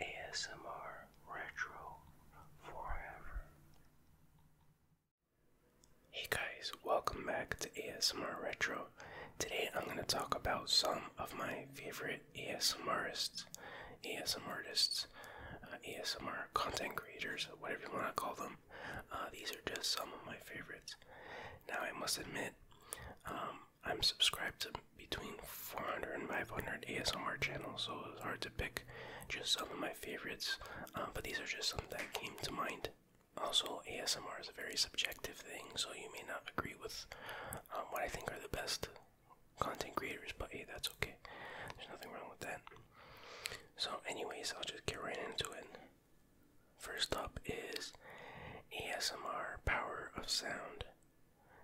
ASMR Retro Forever. Hey guys, welcome back to ASMR Retro. Today I'm going to talk about some of my favorite ASMRists, ASMR artists, uh, ASMR content creators, whatever you want to call them. Uh, these are just some of my favorites. Now I must admit, um, I'm subscribed to between 400 and 500 ASMR channels, so it's hard to pick just some of my favorites. Uh, but these are just some that came to mind. Also, ASMR is a very subjective thing, so you may not agree with um, what I think are the best content creators, but hey, that's okay. There's nothing wrong with that. So, anyways, I'll just get right into it. First up is ASMR Power of Sound.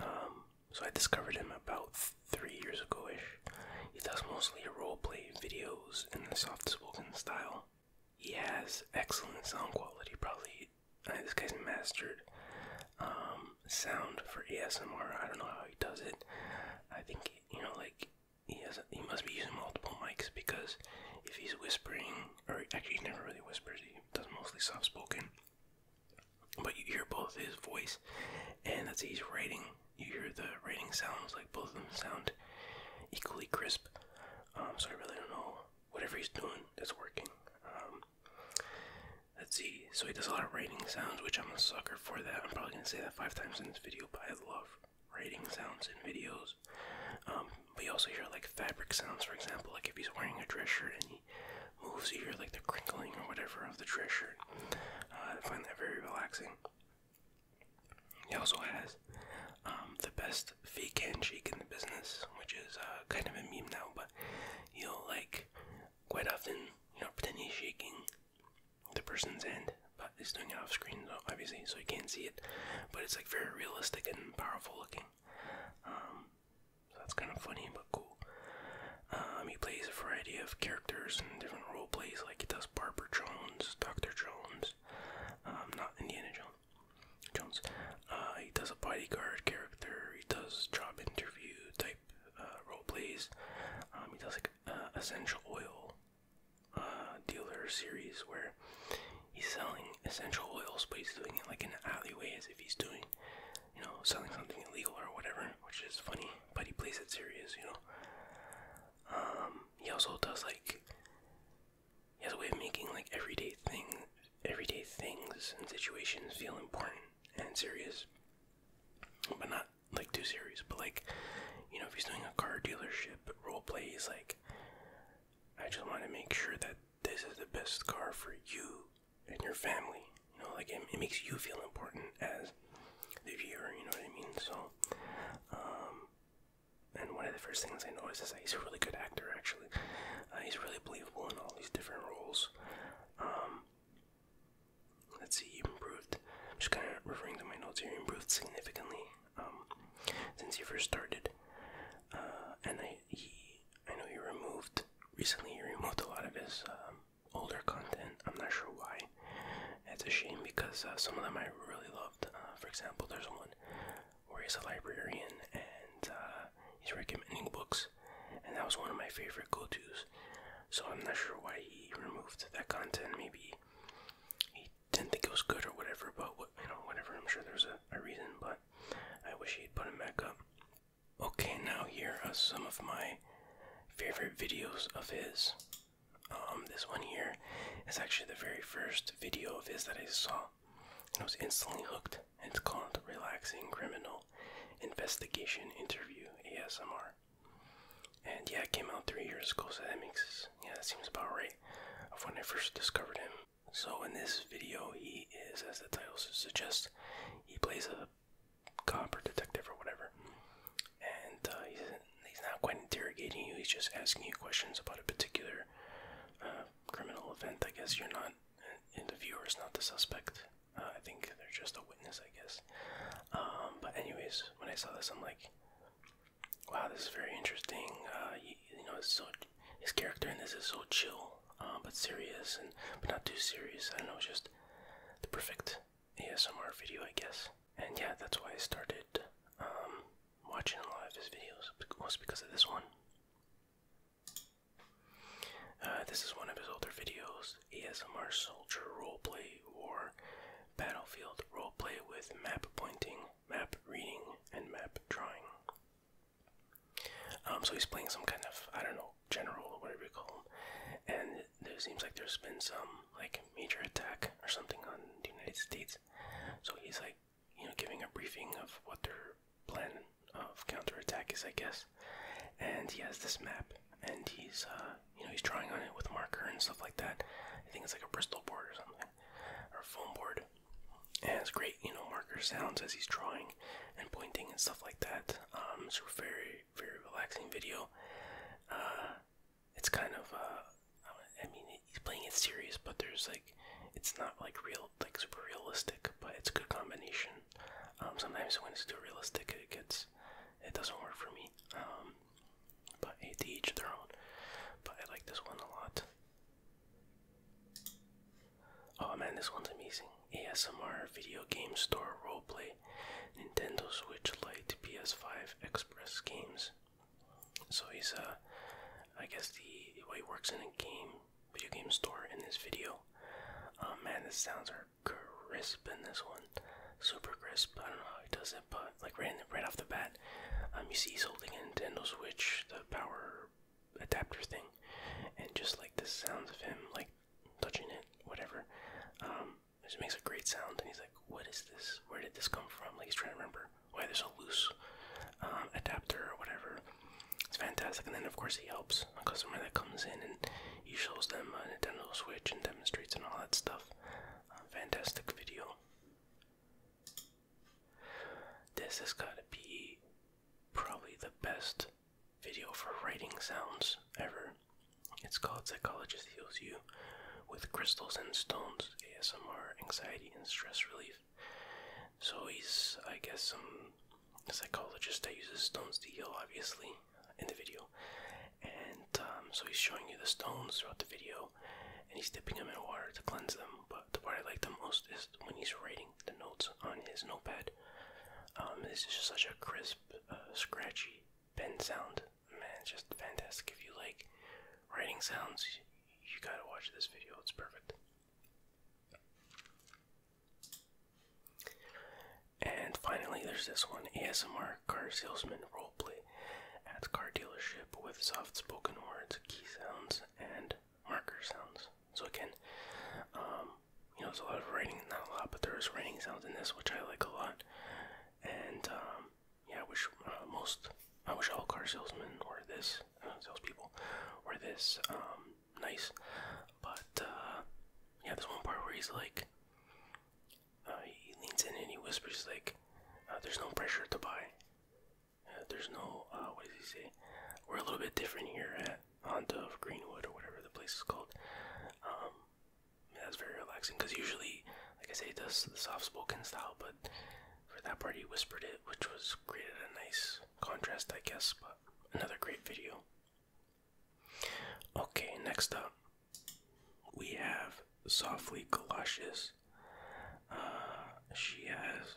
Um, so I discovered him about three years ago ish. He does mostly roleplay videos in a soft spoken style. He has excellent sound quality, probably. Uh, this guy's mastered um, sound for ASMR. I don't know how he does it. I think, you know, like, he, has he must be using multiple mics because if he's whispering, or actually, he never really whispers, he does mostly soft spoken. But you hear both his voice and that's he's writing. You hear the writing sounds like both of them sound equally crisp. Um, so I really don't know. Whatever he's doing is working. Um, let's see. So he does a lot of writing sounds, which I'm a sucker for. That I'm probably gonna say that five times in this video, but I love writing sounds in videos. Um, but you also hear like fabric sounds, for example, like if he's wearing a dress shirt and moves here like the crinkling or whatever of the treasure. Uh, I find that very relaxing. He also has um, the best fake shake in the business, which is uh, kind of a meme now, but he'll like quite often, you know, pretend he's shaking the person's hand, but he's doing it off screen, so obviously, so you can't see it. But it's like very realistic and powerful looking. Um, so that's kind of funny but cool. Um, he plays a variety of characters and different role plays, like he does Barber Jones, Doctor Jones, um, not Indiana Jones. Jones. Uh, he does a bodyguard character. He does job interview type uh, role plays. Um, he does like uh, essential oil uh, dealer series where he's selling essential oils, but he's doing it like in an alleyway as if he's doing you know, selling something illegal or whatever, which is funny, but he plays it serious, you know. Um, he also does like he has a way of making like everyday things, everyday things and situations feel important and serious, but not like too serious. But like, you know, if he's doing a car dealership role play, he's like, I just want to make sure that this is the best car for you in your family. You know, like it, it makes you feel important as the viewer. You know what I mean? So, um, and one of the first things I noticed is that he's a really good actor. Actually, uh, he's really believable in all these different roles. Um, let's see, you improved. I'm just kind of referring to my notes here. You improved significantly um, since you first started, uh, and I he I know he removed recently he removed a lot of his um, older content. I'm not sure why. It's a shame because uh, some of them I really loved. Uh, for example, there's one where he's a librarian and uh, he's recommending books, and that was one of my favorite go-to's. So I'm not sure why he removed that content. Maybe he didn't think it was good or whatever. But you know, whatever. I'm sure there's a, reason. But I wish he'd put it back up. Okay, now here are some of my favorite videos of his. Um, this one here is actually the very first video of his that I saw. And I was instantly hooked. It's called Relaxing Criminal Investigation Interview ASMR. And yeah, it came out three years ago, so that makes yeah, that seems about right of when I first discovered him. So in this video, he is, as the title suggests, he plays a cop or detective or whatever, and uh, he's not quite interrogating you. He's just asking you questions about a particular uh, criminal event. I guess you're not, and the viewer not the suspect. Uh, I think they're just a witness. I guess. Um, but anyways, when I saw this, I'm like, wow, this is very interesting. you, you know, it's so his character in this is so chill, uh, but serious and but not too serious. I don't know, it's just the perfect ASMR video, I guess. And yeah, that's why I started um, watching a lot of his videos, was because of this one. Uh, this is one of his older videos, ASMR Soldier role play or Battlefield role play with map pointing, map reading, and map drawing. Um, so he's playing some kind of I don't know general or whatever you call him, and it seems like there's been some like major attack or something on the United States. So he's like you know giving a briefing of what their plan of counterattack is, I guess. And he has this map, and he's uh, you know he's drawing on it with marker and stuff like that. I think it's like a Bristol board or something, or a foam board. It has great, you know, marker sounds as he's drawing and pointing and stuff like that. Um, it's a very, very relaxing video. Uh, it's kind of, uh, I mean, he's playing it serious, but there's like, it's not like real, like super realistic, but it's good combination. Um, sometimes when it's too realistic, it gets, it doesn't work for me. Um, but each their own. But I like this one a lot. Oh man, this one's amazing. ASMR video game store roleplay. Nintendo Switch Lite PS5 Express games. So he's uh I guess the well, he works in a game video game store in this video. Oh man, the sounds are crisp in this one. Super crisp. I don't know how he does it, but like right right off the bat, um you see he's holding a Nintendo Switch, the power adapter thing, and just like the sounds of him like touching it, whatever, um, it just makes a great sound. And he's like, "What is this? Where did this come from?" Like he's trying to remember why there's a loose um, adapter or whatever. It's fantastic. And then of course he helps a customer that comes in and he shows them a Nintendo Switch and demonstrates and all that stuff. Uh, fantastic video. This has got to be probably the best video for writing sounds ever. It's called Psychologist Heals You with Crystals and Stones ASMR Anxiety and Stress Relief. So he's, I guess, some psychologist that uses stones to heal, obviously, in the video. And um, so he's showing you the stones throughout the video and he's dipping them in water to cleanse them. But the part I like the most is when he's writing the notes on his notepad. Um, this is just such a crisp, uh, scratchy pen sound. Man, it's just fantastic. If you like writing sounds, you, you gotta watch this video. It's perfect. And finally, there's this one ASMR car salesman roleplay at car dealership with soft spoken words, key sounds, and marker sounds. So again, um, you know, there's a lot of writing, not a lot, but there's writing sounds in this, which I like a lot. And um, yeah, I wish uh, most, I wish all car salesmen or this uh, salespeople or this um, nice. But uh, yeah, there's one part where he's like, he leans in and he whispers like, "There's no pressure to buy. there's no uh, what does he say? We're a little bit different here at Honda of Greenwood or whatever the place is called. Um, that's very relaxing because usually, like I say, it does the soft spoken style, but for that part he whispered it, which was created a nice contrast, I guess. But another great video. Okay, next up we have Softly Galoshes. Uh, she has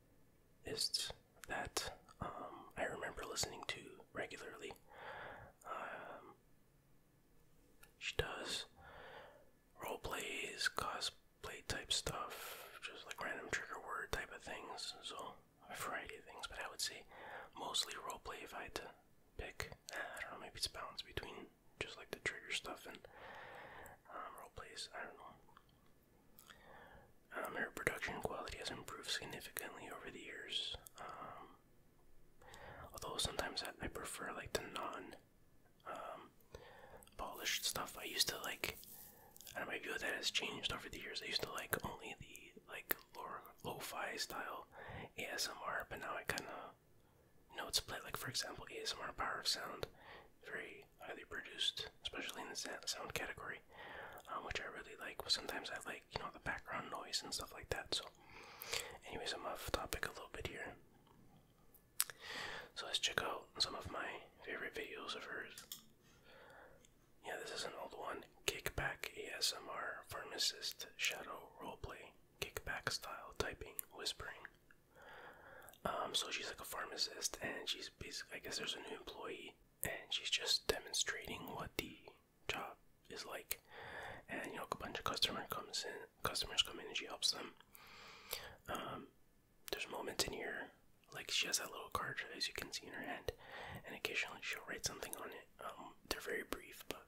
is that um, I remember listening to regularly. Um, she does role plays, cosplay type stuff, just like random trigger word type of things, so a variety of things, but I would say mostly role play if I had to pick. I don't know, maybe it's a balance between just like the trigger stuff and um, role plays. I don't know. Um, production quality has improved significantly over the years. Um, although sometimes I, prefer like the non um, polished stuff. I used to like, I and my view of that has changed over the years. I used to like only the like low fi style ASMR, but now I kind of you know it's played like for example ASMR Power of Sound, very highly produced, especially in the sound category, um, which I really like. Well, sometimes I like, you know, the background noise and stuff like that. So, anyways, I'm off topic a little bit here. So let's check out some of my favorite videos of hers. Yeah, this is an old one. Kickback ASMR Pharmacist Shadow Roleplay Kickback Style Typing Whispering. Um, so she's like a pharmacist, and she's basically, I guess there's a new employee, and she's just demonstrating what the job is like. And you know, a bunch of customer comes in, customers come in, and she helps them. Um, there's moments in here, like she has that little card as you can see in her hand, and occasionally she'll write something on it. Um, they're very brief, but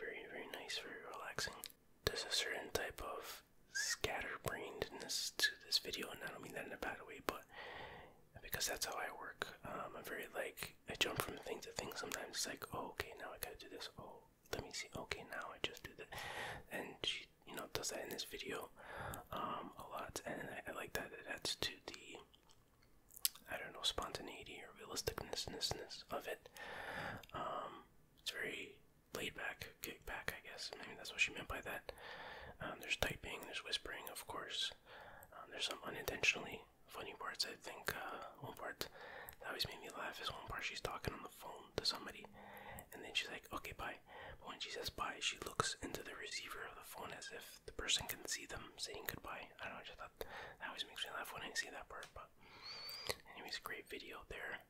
very, very nice, very relaxing. There's a certain type of scatterbrainedness to this video, and I don't mean that in a bad way, but because that's how I work. Um, I'm very like I jump from thing to thing. Sometimes it's like, oh, okay, now I gotta do this. Oh, let me see. Okay, now I just do that, and she, you know, does that in this video um, a lot, and I, like that. It adds to the I don't know spontaneity or realisticnessness of it. Um, it's very laid back kick back, I guess. I mean, that's what she meant by that. Um, there's typing, there's whispering, of course. Um, there's some unintentionally funny parts. I think uh, one part that always made me laugh is one part she's talking on the phone to somebody, and then she's like, "Okay, bye." when she says bye, she looks into the receiver of the phone as if the person can see them saying goodbye. I don't know. I just thought that always makes me laugh when I see that part. But anyways, great video there.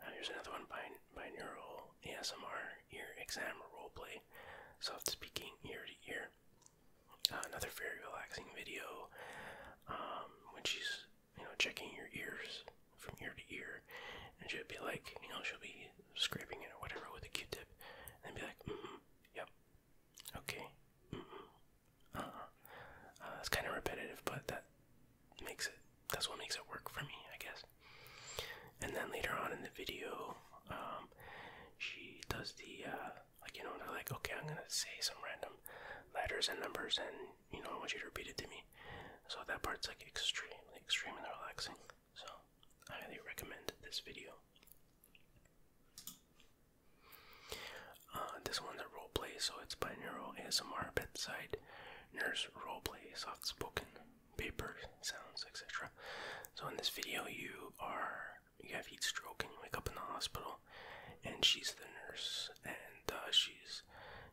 Uh, here's another one by binaural ASMR ear exam role roleplay, soft speaking ear to ear. Uh, another very relaxing video um, when she's you know checking your ears from ear to ear, and she'll be like you know she'll be scraping it or whatever with a Q-tip, and be like, mm -hmm, yep, okay, -hmm, uh, -huh. it's kind of repetitive, but that makes it that's what makes it work for me, I guess. And then later on in the video, um, she does the uh, like you know they're like okay I'm gonna say some random letters and numbers and you know I want you to repeat it to me. So that part's like extremely, extremely relaxing. So I highly recommend this video. Uh, this one's a role play, so it's binaural ASMR bedside nurse roleplay, soft spoken, paper sounds, etc. So in this video, you are you have heat stroke and you wake up in the hospital, and she's the nurse and uh, she's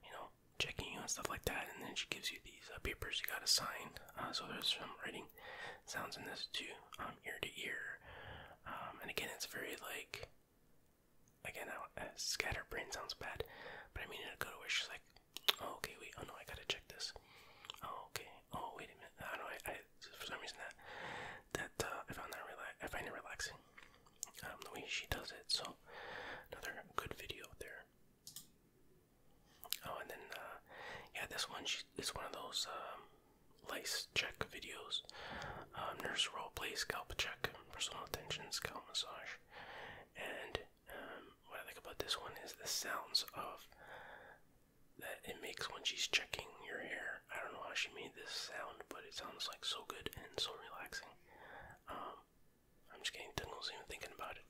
you know checking you and stuff like that, and then she gives you these uh, papers you gotta sign. Uh, so there's some writing sounds in this too, um, ear to ear, um, and again, it's very like again, I, uh, brain sounds bad, but I mean it a good way. She's like, Oh, okay, wait. Oh no, I gotta check this. Oh, okay. Oh, wait a minute. I don't know. I, I for some reason that that uh, I found that relax. I find it relaxing. Um, the way she does it. So another good video there. Oh, and then uh, yeah, this one she is one of those um, lice check videos. Um, nurse role play, scalp check, personal attention, scalp massage, and um, what I like about this one is the sounds of that it makes when she's checking your hair. I don't know how she made this sound, but it sounds like so good and so relaxing. Um, I'm just getting tingles even thinking about it.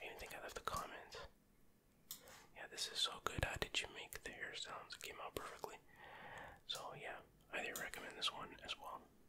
I even think I left a comment. Yeah, this is so good. How did you make the hair sounds? It came out perfectly. So yeah, I do recommend this one as well.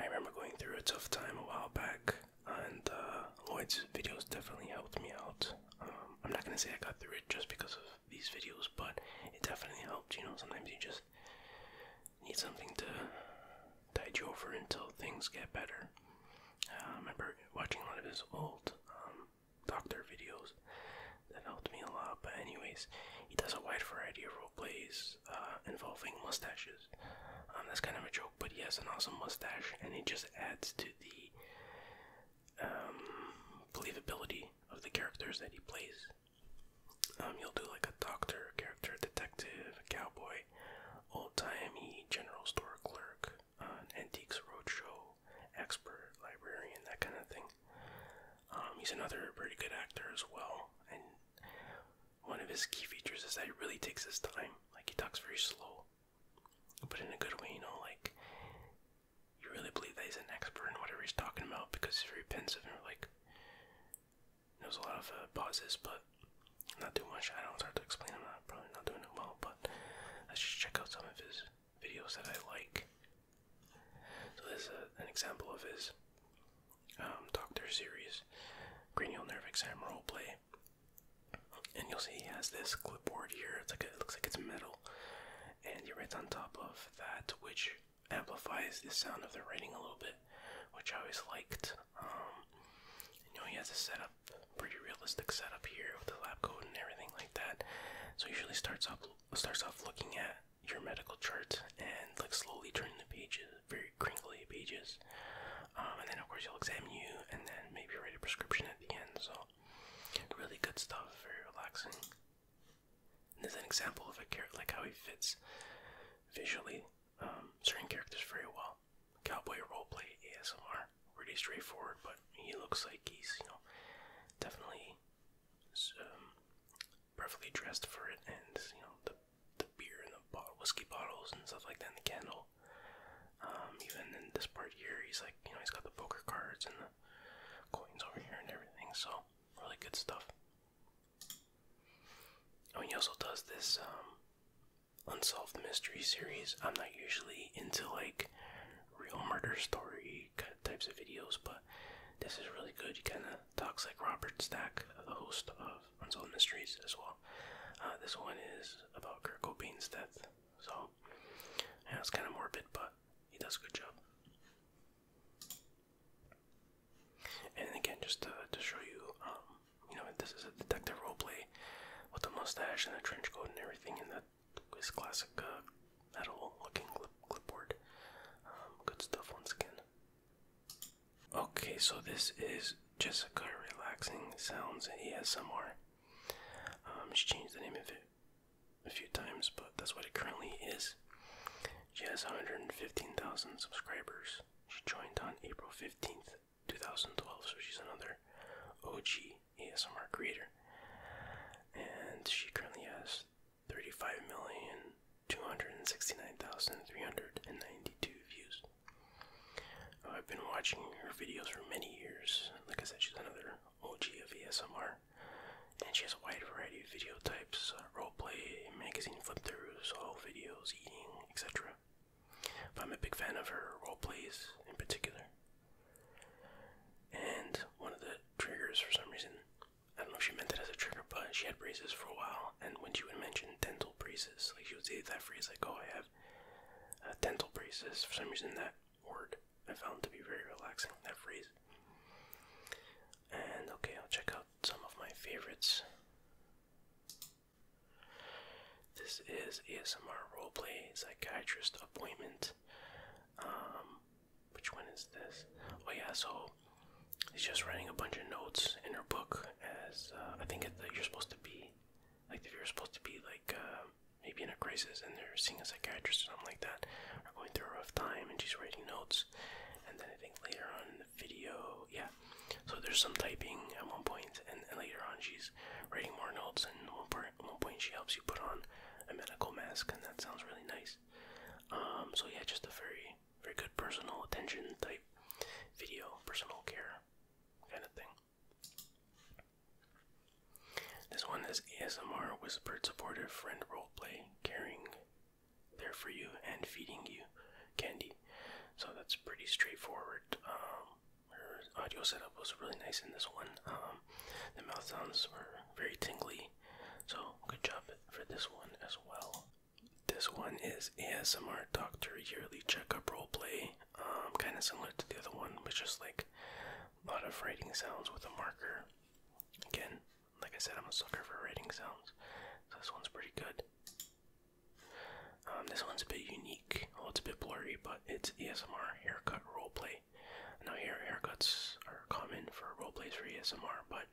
I remember going through a tough time a while back, and uh, Lloyd's videos definitely helped me out. Um, I'm not gonna say I got through it just because of these videos, but it definitely helped. You know, sometimes you just need something to tide you over until things get better. Uh, I remember watching a lot of his old um, doctor videos that helped me a lot. But anyways, he does a wide variety of role plays uh, involving mustaches that's kind of a joke, but he has an awesome mustache, and it just adds to the um, believability of the characters that he plays. Um, you'll do like a doctor character, detective, cowboy, old timey general store clerk, uh, antiques roadshow, expert, librarian, that kind of thing. Um, he's another pretty good actor as well, and one of his key features is that he really takes his time. Like he talks very slow, but in a good way. You know, like you really believe that he's an expert in whatever he's talking about because he's very pensive and like knows a lot of uh, pauses, but not too much. I don't it's to explain. I'm probably not doing it well, but let's just check out some of his videos that I like. So this is an example of his um, doctor series, cranial nerve exam role play and you'll see he has this clipboard here. It's like it looks like it's metal, and he writes on top of that, which amplifies the sound of the writing a little bit, which I always liked. Um, you know, he has a setup, pretty realistic setup here with the lab coat and everything like that. So he usually starts off starts off looking at your medical chart and like slowly turning the pages very crinkly pages. Um, and then, of course, he'll examine you and then maybe write a prescription at the end. So, really good stuff, very relaxing. And there's an example of a character, like how he fits visually um, certain characters very well. Cowboy roleplay ASMR, pretty straightforward, but he looks like he's, you know, definitely um, perfectly dressed for it, and you know the the beer and the bottle, whiskey bottles and stuff like that, and the candle. Um, even in this part here, he's like, you know, he's got the poker cards and the coins over here and everything. So really good stuff. Oh, and he also does this um, unsolved mystery series. I'm not usually into like real murder story types of videos, but this is really good. He kind of talks like Robert Stack, the host of unsolved mysteries as well. Uh, this one is about Kurt Cobain's death, so yeah, it's kind of morbid, but he does a good job. And again, just to, show you, um, you know, this is a detective role play with the mustache and the trench coat and everything, and that is classic uh, metal-looking clip clipboard. Um, good stuff once again. Okay, so this is Jessica Relaxing Sounds ASMR. Um, she changed the name of it a few times, but that's what it currently is. She has 115,000 subscribers. She joined on April 15th, 2012, so she's another OG ASMR creator. And she currently has 35,269,392 views. Oh, I've been watching her videos for many years. Like I said, she's another OG of ASMR. And she has a wide variety of video types uh, roleplay, magazine flip throughs, all videos, eating, etc. I'm a big fan of her roleplays in particular. And one of the triggers, for some reason, I don't know if she meant it as a trigger, but she had braces for a while, and when she would mention dental braces, like she would say that phrase, like, "Oh, I have uh, dental braces." For some reason, that word I found to be very relaxing. That phrase. And okay, I'll check out some of my favorites. This is ASMR roleplay psychiatrist appointment. Um, which one is this? Oh yeah, so he's just writing a bunch of notes in her book. As uh, I think that you're supposed to be like if you're supposed to be like uh, maybe in a crisis and they're seeing a psychiatrist or something like that, or going through a rough time and she's writing notes, and then I think later on in the video, yeah. So there's some typing at one point, and, and later on she's writing more notes, and one point she helps you put on a medical mask, and that sounds really nice. Um, so yeah, just a very, very good personal attention type video, personal care kind of thing. This one is ASMR whispered supportive friend roleplay, caring, there for you, and feeding you candy. So that's pretty straightforward. Um, audio setup was really nice in this one. Um, the mouth sounds were very tingly, so good job for this one as well. This one is ASMR Doctor Yearly Checkup Roleplay. Um, kind of similar to the other one, which is like a lot of writing sounds with a marker. Again, like I said, I'm a sucker for writing sounds, so this one's pretty good. Um, this one's a bit unique. Well, it's a bit blurry, but it's ASMR haircut roleplay. Now, hair haircuts are common for roleplays for ASMR, but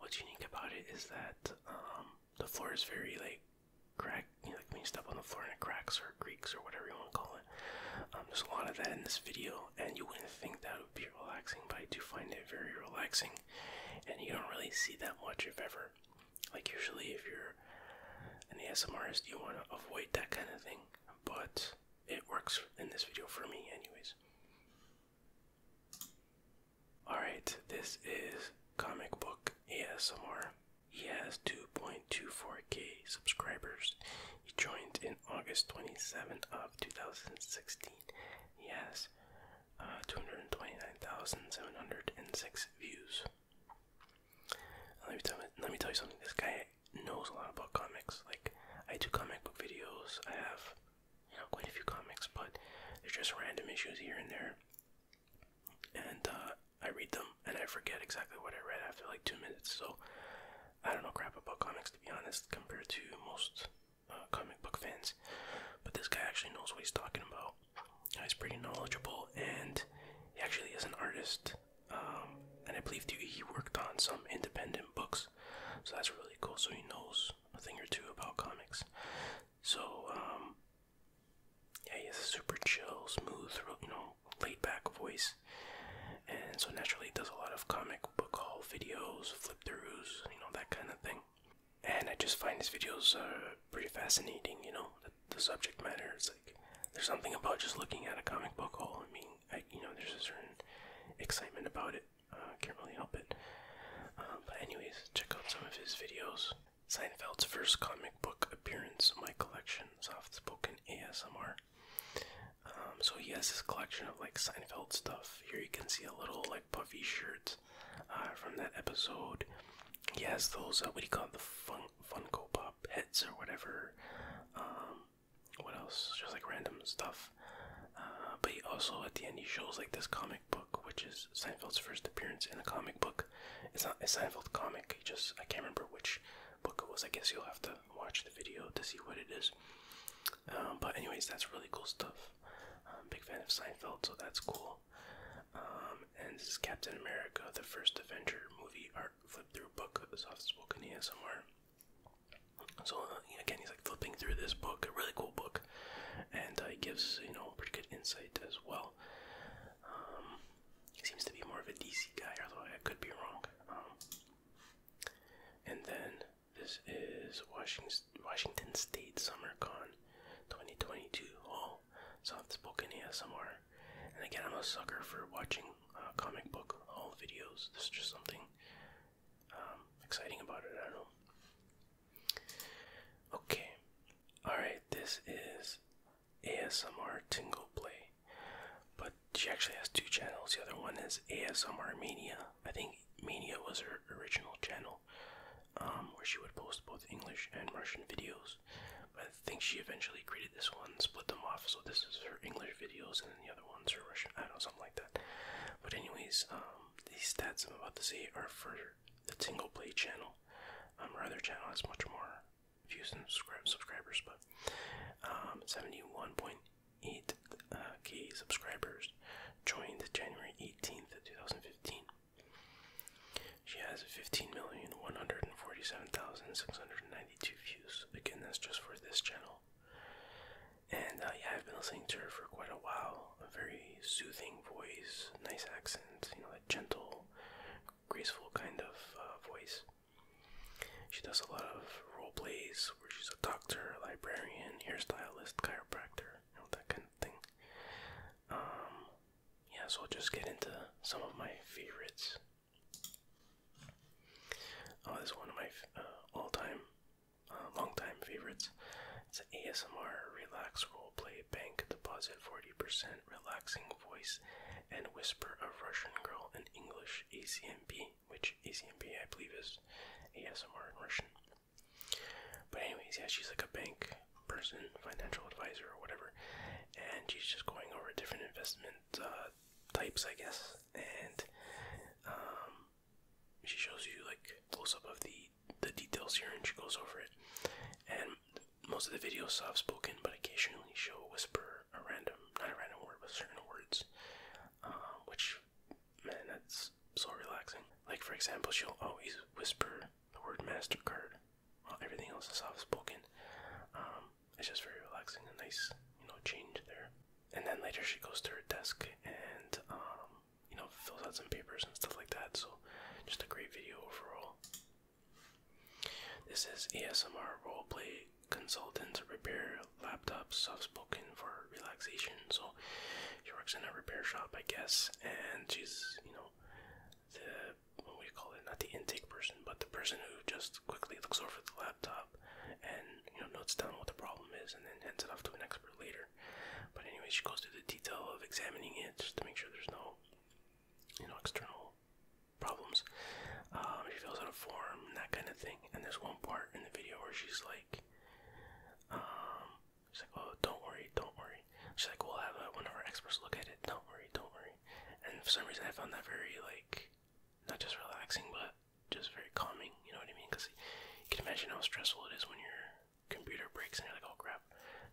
what's unique about it is that um, the floor is very like crack, you know, like when you step on the floor and it cracks, or creaks, or whatever you want to call it. Um, there's a lot of that in this video, and you wouldn't think that would be relaxing, but I do find it very relaxing, and you don't really see that much, if ever. Like, usually, if you're an ASMRist, you want to avoid that kind of thing, but it works in this video for me, anyways. Alright, this is Comic Book ASMR. He has 2.24k subscribers. He joined in August twenty seventh of 2016. He has uh, 229,706 views. Let me, tell, let me tell you something. This guy knows a lot about comics. Like, I do comic book videos. I have, you know, quite a few comics, but there's just random issues here and there and uh, I read them and I forget exactly what I read after like two minutes. So I don't know crap about comics to be honest, compared to most uh, comic book fans. But this guy actually knows what he's talking about. Uh, he's pretty knowledgeable, and he actually is an artist. Um, and I believe he worked on some independent books, so that's really cool. So he knows a thing or two about comics. So um, yeah, he has a super chill, smooth, you know, laid-back voice, and so naturally does a lot of comic book haul videos, flip-throughs, you know, that kind of thing. And I just find his videos uh, pretty fascinating. You know, the, subject matter is like there's something about just looking at a comic book haul. I mean, I, you know, there's a certain excitement about it. Uh, I uh, can't really help it. Uh, but anyways, check out some of his videos. Seinfeld's first comic book appearance, My Collection, Soft Spoken ASMR. Um, so he has this collection of like Seinfeld stuff. Here you can see a little like puffy shirt uh, from that episode. He has those, uh, what do you call it, the fun Funko Pop heads or whatever. Um, what else? Just like random stuff. Uh, but he also at the end he shows like this comic book, which is Seinfeld's first appearance in a comic book. It's not a Seinfeld comic, just I can't remember which book it was. I guess you'll have to watch the video to see what it is. Um, but anyways, that's really cool stuff. I'm a big fan of Seinfeld, so that's cool. Um, and this is Captain America, the first Avenger movie art flip through book, soft spoken ASMR. So uh, again, he's like flipping through this book, a really cool book, and it uh, gives you know pretty good insight as well. Um, he seems to be more of a DC guy, although I could be wrong. Um, and then this is Washington, Washington State SummerCon 2022. All soft spoken Summer. And again, I'm a sucker for watching uh, comic book all uh, videos. This is just something um, exciting about it. I know. Okay, alright, this is ASMR Tingle Play, but she actually has two channels. The other one is ASMR Mania. I think Mania was her original channel um, where she would post both English and Russian videos. I think she eventually created this one, split them off, so this is her English videos and then the other one's her Russian, I don't know, something like that. But anyways, um, these stats I'm about to say are for the Tingle Play channel. Um, other channel has much more views and subscribers, but 71.8k um, uh, subscribers joined January 18th, 2015. She has 15,147,692 views. Again, that's just for this channel. And uh, yeah, I've been listening to her for quite a while. A very soothing voice, nice accent, you know, gentle, graceful kind of uh, voice. She does a lot of role plays where she's a doctor, librarian, hairstylist, chiropractor, you know, that kind of thing. Um, yeah, so we will just get into some of my favorites. Oh, this is one of my uh, all-time, uh, long-time favorites. It's an ASMR relax role play bank deposit 40%, relaxing voice, and whisper of Russian girl in English ACMP, which ACMP I believe is ASMR in Russian. But anyways, yeah, she's like a bank person, financial advisor or whatever, and she's just going over different investment uh, types, I guess, and um, she shows you like close up of the the details here, and she goes over it. And most of the videos soft spoken, but occasionally she'll whisper a random, not a random word, but certain words, um, which man, that's so relaxing. Like for example, she'll always whisper the word Mastercard while everything else is soft spoken. Um, it's just very relaxing, and nice you know change there. And then later she goes to her desk and um, you know fills out some papers and stuff like that. So just a great video overall. This is ESMR roleplay consultant to repair laptops, soft spoken for relaxation. So she works in a repair shop, I guess, and she's you know the what do call it? Not the intake person, but the person who just quickly looks over the laptop and you know notes down what the problem is and then hands it off to an expert later. But anyway, she goes through the detail of examining it just to make sure there's no you know, external problems. Um, she fills out a form and that kind of thing. And there's one part in the video where she's like, um, she's like, oh, don't worry, don't worry. She's like, we'll have one of our experts look at it. Don't worry, don't worry. And for some reason, I found that very like, not just relaxing, but just very calming. You know what I mean? Because you can imagine how stressful it is when you're computer breaks and you're like, oh crap,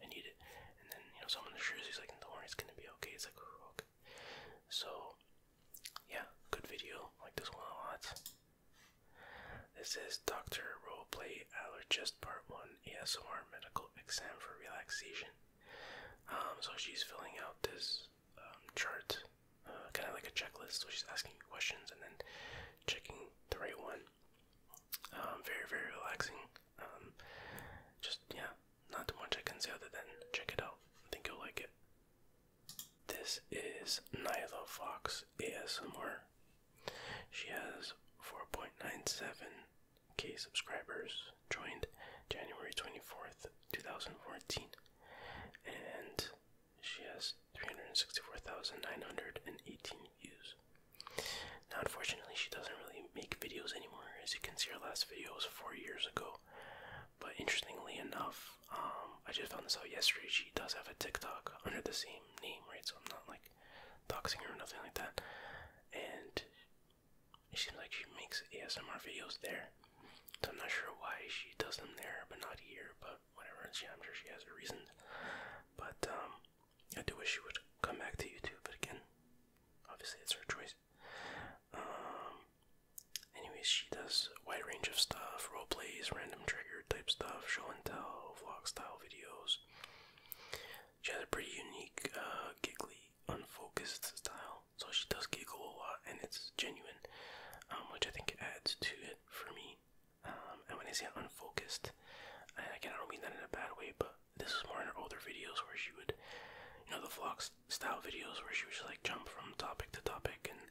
I need it. And then, you know, someone assures you, like, in the worry, it's gonna be okay. It's like, oh, okay. So, yeah, good video. Like this one a lot. This is Dr. Roleplay Allergist Part 1 ASMR Medical Exam for Relaxation. Um, so she's filling out this um, chart, uh, kind of like a checklist. So she's asking questions and then checking the right one um, very, very relaxing. Um, just, yeah, not too much I can say other than check it out. I think you'll like it. This is Nyla Fox ASMR. She has 4.97k subscribers, joined January 24th, 2014, and she has 364,918 views. Now, unfortunately, she doesn't really make videos anymore. As you can see, her last video was four years ago. But interestingly enough, um, I just found this out yesterday. She does have a TikTok under the same name, right? So I'm not like doxing her or nothing like that. And it seems like she makes ASMR videos there. So I'm not sure why she does them there, but not here. But whatever. She, I'm sure she has a reason. But um, I do wish she would come back to YouTube, but again, obviously it's her choice. Um, anyways, she does wide range of stuff, role plays, random trigger type stuff, show and tell, vlog style videos. She has a pretty unique, uh, giggly, unfocused style, so she does giggle a lot, and it's genuine, um, which I think adds to it for me. Um, and when I say unfocused, again, I don't mean that in a bad way, but this is more in her older videos where she would, you know, the vlog style videos where she would just like jump from topic to topic and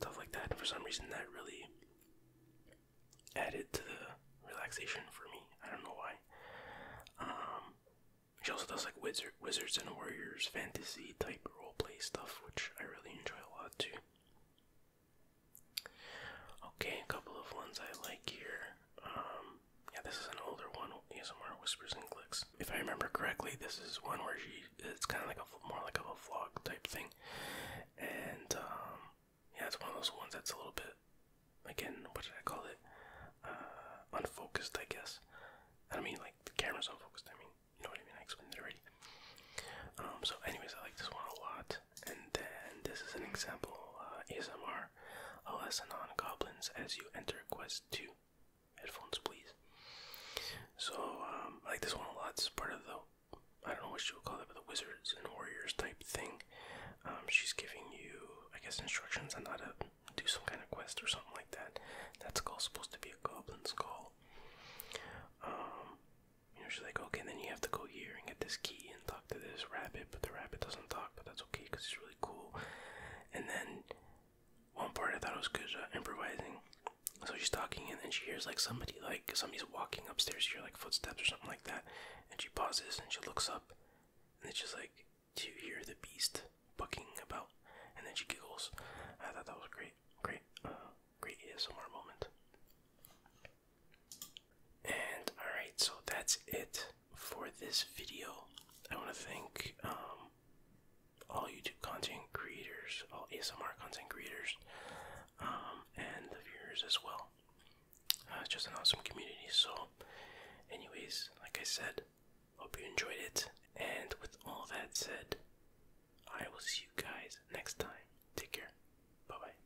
stuff like that. And for some reason, that really added to the relaxation for me. I don't know why. Um, she also does like wizard, wizards and warriors fantasy type role play stuff, which I really enjoy a lot too. Okay, a couple of ones I like here. Um, yeah, this is an older one, ASMR Whispers and Clicks. If I remember correctly, this is one where she, it's kind of like a, more like a vlog type thing. And, um, yeah, it's one of those ones that's a little bit, again, what did I call it? Uh, unfocused, I guess. I mean like the camera's unfocused, I mean, you know what I mean? I explained it already. Um, so anyways, I like this one a lot. And then this is an example uh, ASMR, a lesson on goblins as you enter quest 2. Headphones, please. So, um, I like this one a lot. It's part of the, I don't know what she would call it, but the wizards and warriors type thing. Um, she's giving you, I guess, instructions on how to do some kind of quest or something like that. That skull's supposed to be a goblin skull. Um, you know, she's like, okay, then you have to go here and get this key, talk to this rabbit, but the rabbit doesn't talk, but that's okay because he's really cool. And then one part I thought was good uh, improvising. So she's talking, and then she hears like somebody, like somebody's walking upstairs. She hears like footsteps or something like that, and she pauses and she looks up, and it's just like, to hear the beast bucking about?" And then she giggles. I thought that was great, great, uh, great ASMR moment. And alright, so that's it for this video. I want to thank um, all YouTube content creators, all ASMR content creators, um, and the viewers as well. Uh, it's just an awesome community. So, anyways, like I said, hope you enjoyed it. And with all that said, I will see you guys next time. Take care. Bye bye.